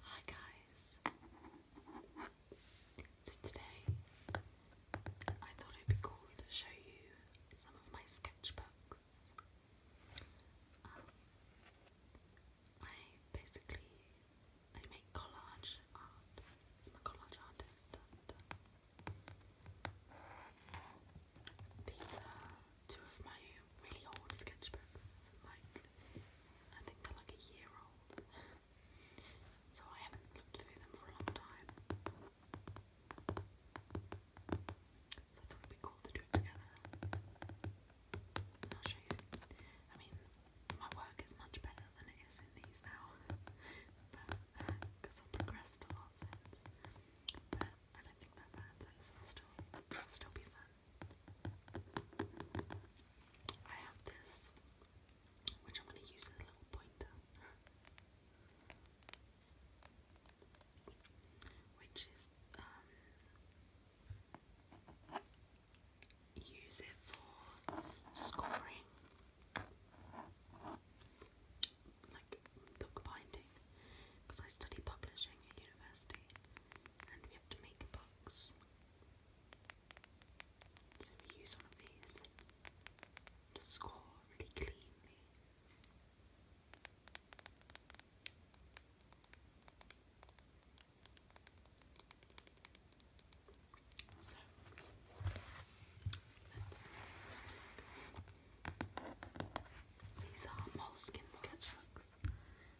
Hi guys! So today I thought it'd be cool to show you some of my sketchbooks. Um, I basically I make collage art. I'm a collage artist. Um, these are two of my really old sketchbooks, like I think they're like a year old, so I haven't looked through them for a long time. So I thought it'd be cool to do it together. I'll show you. I mean, my work is much better than it is in these now, but because I've progressed a lot since. But I don't think that matters. it still, still be fun. I have this, which I'm going to use as a little pointer, which is, um, use it for scoring, like book binding because I study publishing at university and we have to make books. So we use one of to score really cleanly. So these are moleskin sketchbooks.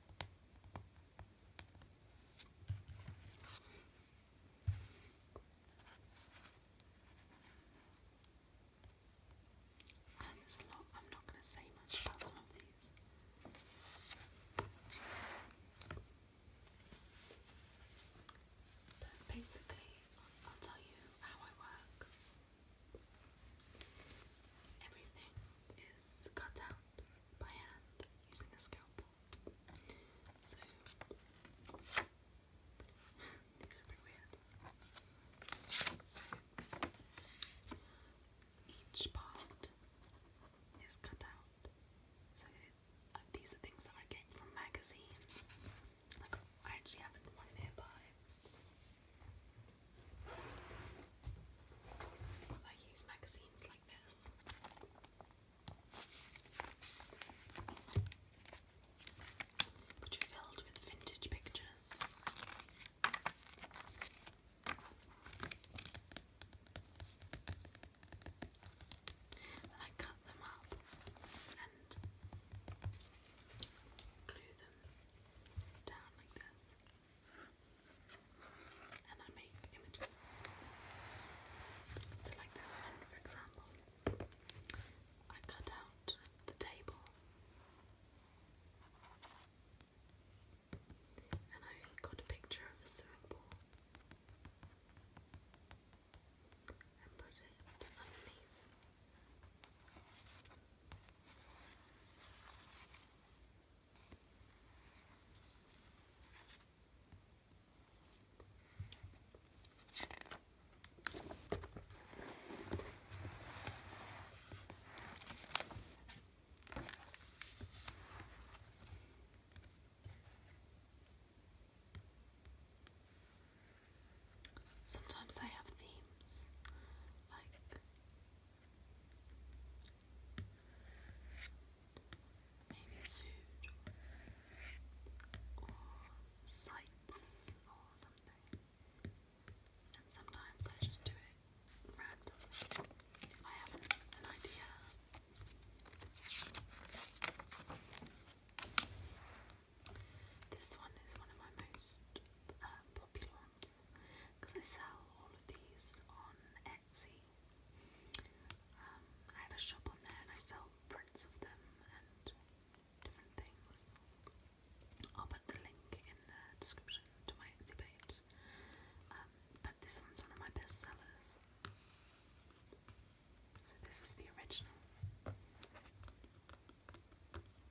And um, there's a lot, I'm not going to say much about some of these. But basically, I'll tell you how I work. Everything is cut out by hand using a scalpel. So these each part is cut out. So these are things that I get from magazines. Like I actually have one nearby. I use magazines like this. Which are filled with vintage pictures. I cut them up and glue them down like this and I make images. So like this one for example, I cut out the table and I got a picture of a swimming pool and put it underneath. Sometimes I have themes like Maybe food or sights or something. And sometimes I just do it randomly I have an idea. This one is one of my most uh, popular because I sell all of these on Etsy. Um, I have a shop on there and I sell prints of them and different things. I'll put the link in the description to my Etsy page. Um, but this one's one of my best sellers. So this is the original.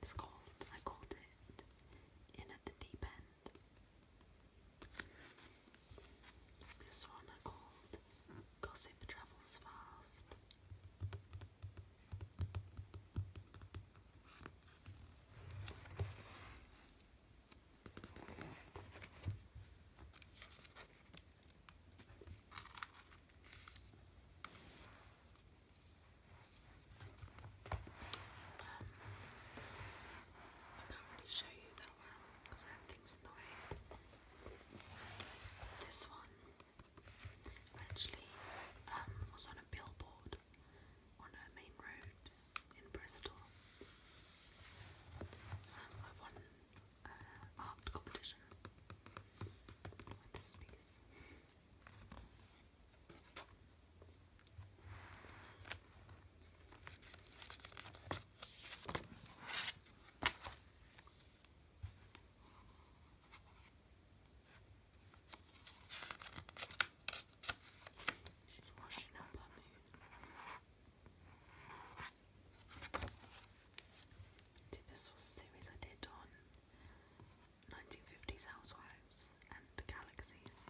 It's called, I called it In at the Deep End. This one I called Gossip Travels Fast. I can't really show you that well because I have things in the way. This one actually um, was on a billboard on a main road in Bristol. Um, I won an uh, art competition with this piece. She's washing this was a series I did on 1950s housewives and galaxies.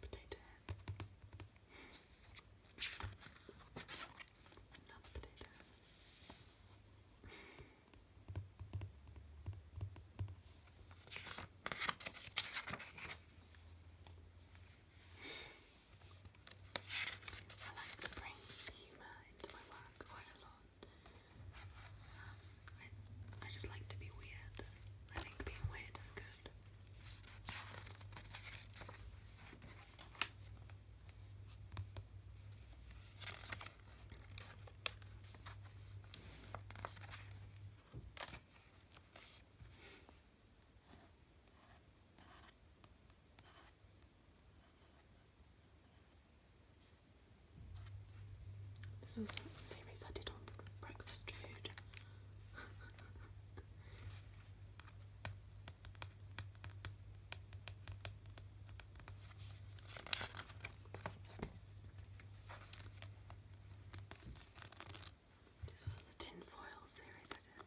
Potato head. I like to bring humour into my work quite a lot. I, I just like to be weird. I think being weird is good. This was a series I did on breakfast food. this was a tin foil series I did.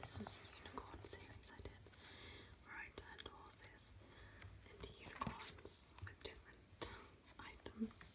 This was a unicorn series I did where I turned horses into unicorns with different items.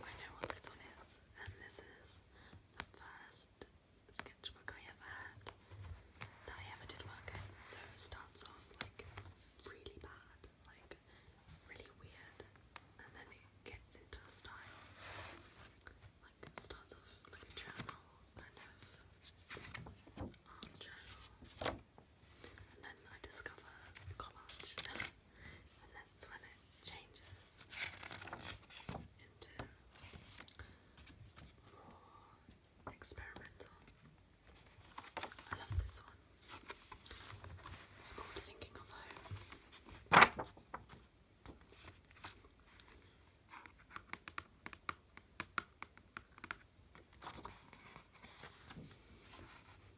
I know what this one is, and this is the first sketchbook I ever had that I ever did work in. So it starts off like really bad, like really weird, and then it gets into a style. Like starts off like a journal, kind of art journal. And then I discover collage, and that's when it changes into more experimental. I love this one. It's called Thinking of Home. I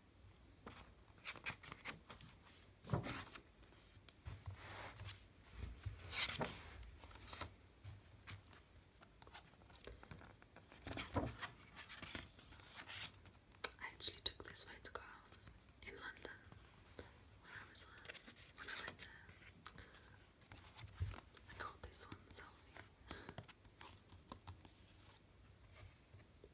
actually took this photograph in London when I was uh, when I went there. I got this one selfie.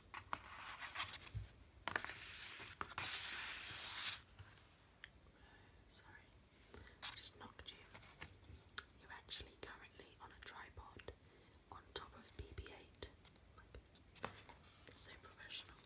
Sorry, just knocked you. You're actually currently on a tripod on top of BB-8. So professional.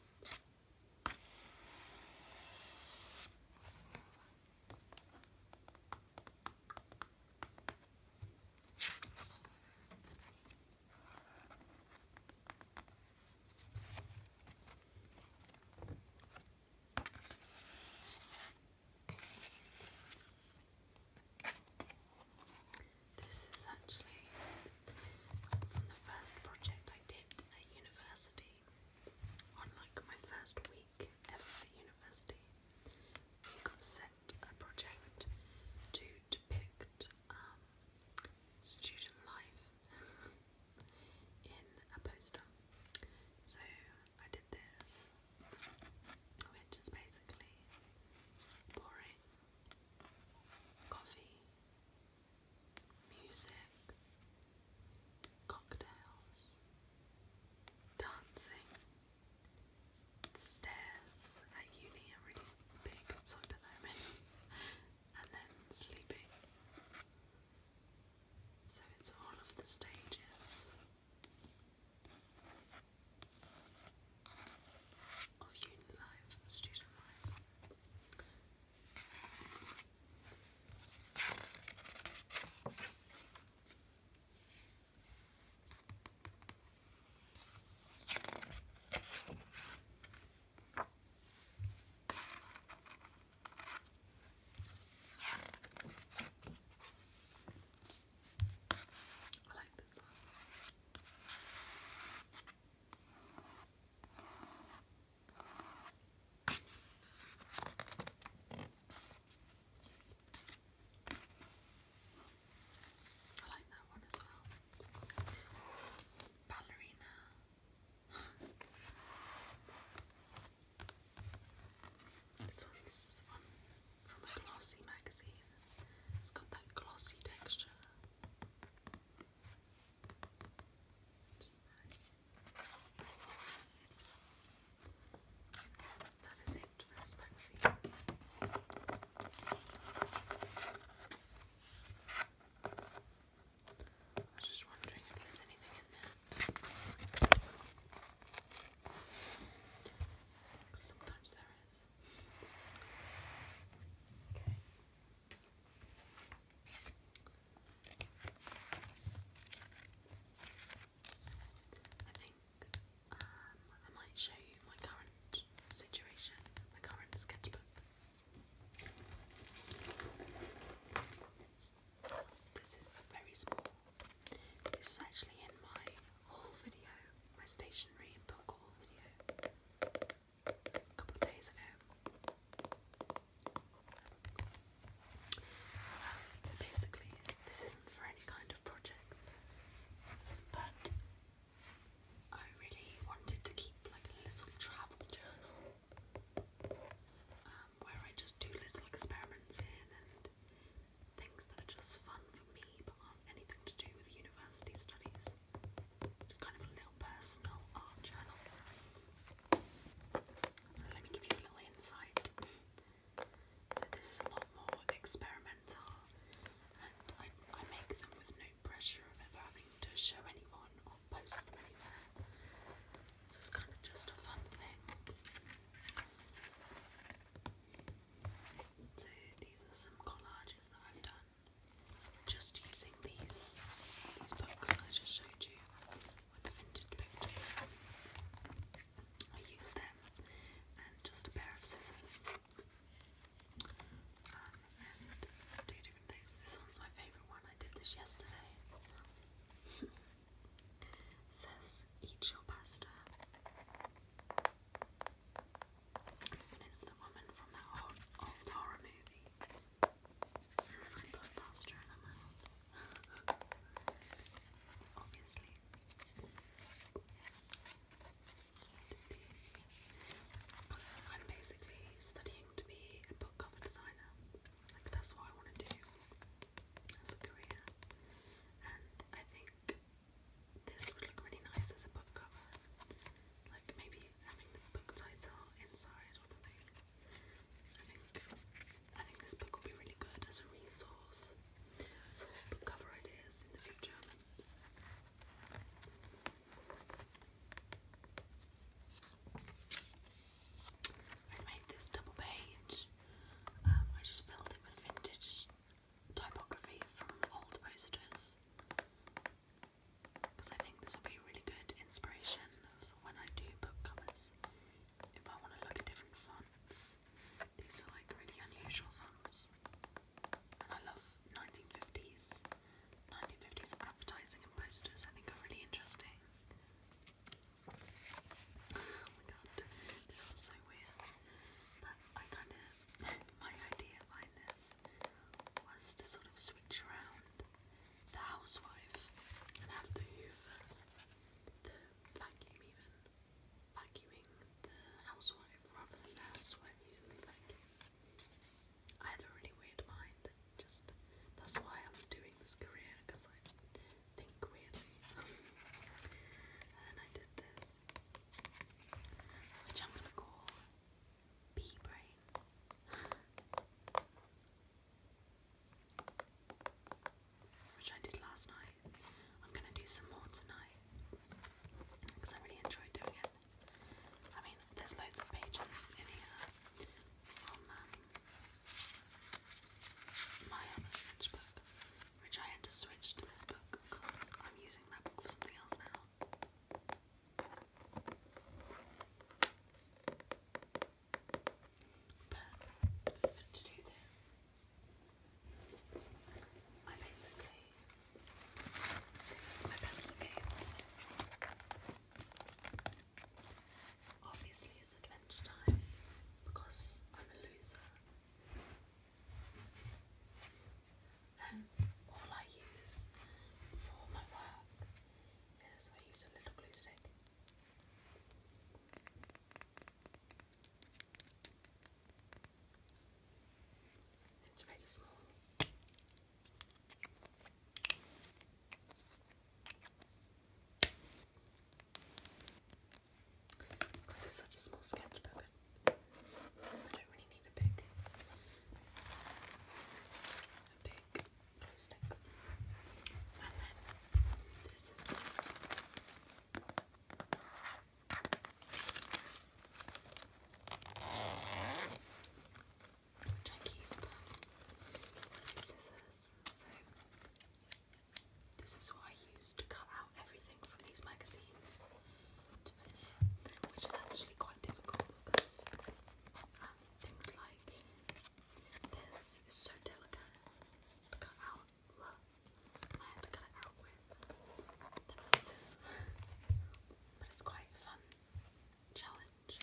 This is actually from the first project I did at university, on like my first week ever at university. We got sent a project to depict um, student life in a poster. So I did this, which is basically pouring coffee, music, cocktails, dancing, stairs at uni are really big, so moment and then sleeping. So it's all of the stages of uni life, student life. I like this one. I like that one as well ballerina. this one's from a glossy magazine. It's got that glossy texture. Which is magazine. I was just wondering if there's anything in this. Sometimes there is. Okay. I think um, I might show you my current situation, my current sketchbook. This is very small. This is actually in my haul video, my stationery and book video, a couple days ago. basically, this isn't for any kind of project, but I really wanted to keep like a little travel journal um, where I just do little experiments in and things that are just fun for me but aren't anything to do with university studies. Just kind of a little personal art journal. So let me give you a little insight. So this is a lot more experimental are, I, make them with no pressure of ever having to show anyone or post them anywhere. it's just a fun thing. So these are some collages that I've done just using these these books I just showed you with the vintage pictures. I use them and just a pair of scissors. This one's my favourite one. I did this yesterday. says, eat your pasta. And it's the woman from that old, horror movie. I put pasta in her mouth. Obviously. So I'm basically studying to be a book cover designer. Like that's what I want to do as a career. And I think this would look really nice as a book cover. Like maybe having the book title inside or something. I think I think this book will be really good as a resource for book cover ideas in the future. I made this double page. Um, I just filled it with vintage typography from old posters because I think this will be really good inspiration for when I do book covers. If I want to look at different fonts, these are like really unusual fonts and I love 1950s, 1950s advertising and posters. I think are really interesting. Oh my god, this one's so weird. But I kind of my idea behind this was to sort of switch around the housewife and have the Hoover, the vacuum even, vacuuming the housewife rather than the housewife using the vacuum. I have a really weird mind, just that's why I'm doing this career because I think weirdly. and I did this, which I'm gonna call bee brain. Which I did last night. I'm gonna do some more tonight because I really enjoy doing it. I mean, there's loads of pages in here from um, my other sketch which I had to switch to this book because I'm using that book for something else now. But to do this, I basically, this is my pencil game. Obviously, it's adventure time because I'm a loser, and all I use for my work is I use a little glue stick. It's very such a small sketchbook, I don't really need a big, a big glue stick. And then this is which I scissors. So this is what I use to cut out everything from these magazines which is actually quite difficult because um, things like this is so delicate to cut out. I had to cut it out with the scissors, but it's quite a challenge.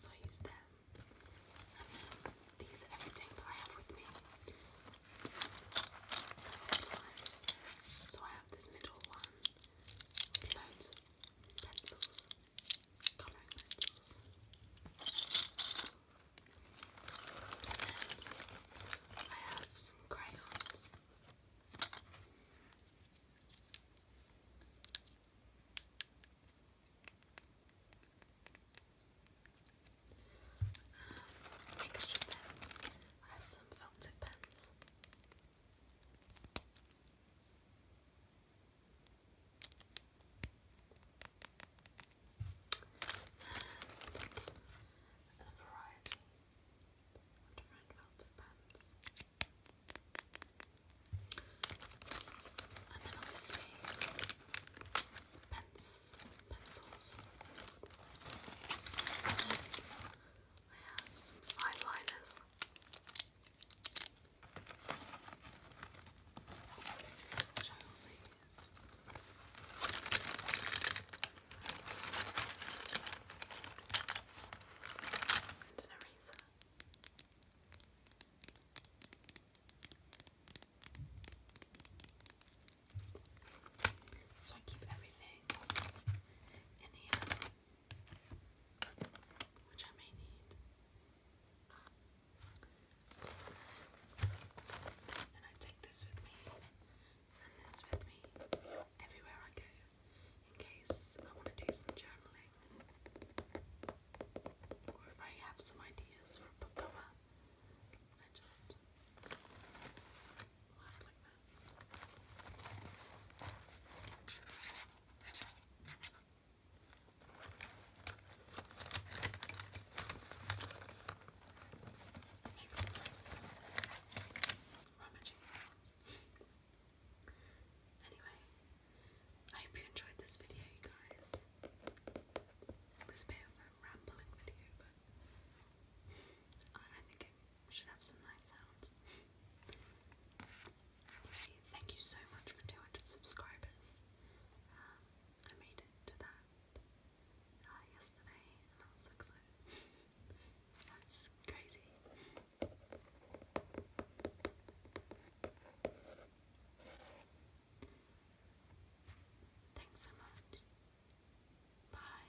So I use them, and then these are everything that I have with me So I have this middle one with loads of pencils, colouring pencils. I have some crayons. Um, I have some filter pens. And a variety different felted pens. And then obviously pens, pencils. I have some eyeliners. Which I also use. And an eraser. So I keep everything in here which I may need. And I take this with me and this with me everywhere I go in case I want to do some journaling or I have some ideas for a book cover. I just Makes anyway, I hope you enjoyed this video, you guys. It was a bit of a rambling video, but I think should have some nice sounds. thank you so much for 200 subscribers. Um, I made it to that uh, yesterday and I was so excited. That's crazy. Thanks so much. Bye.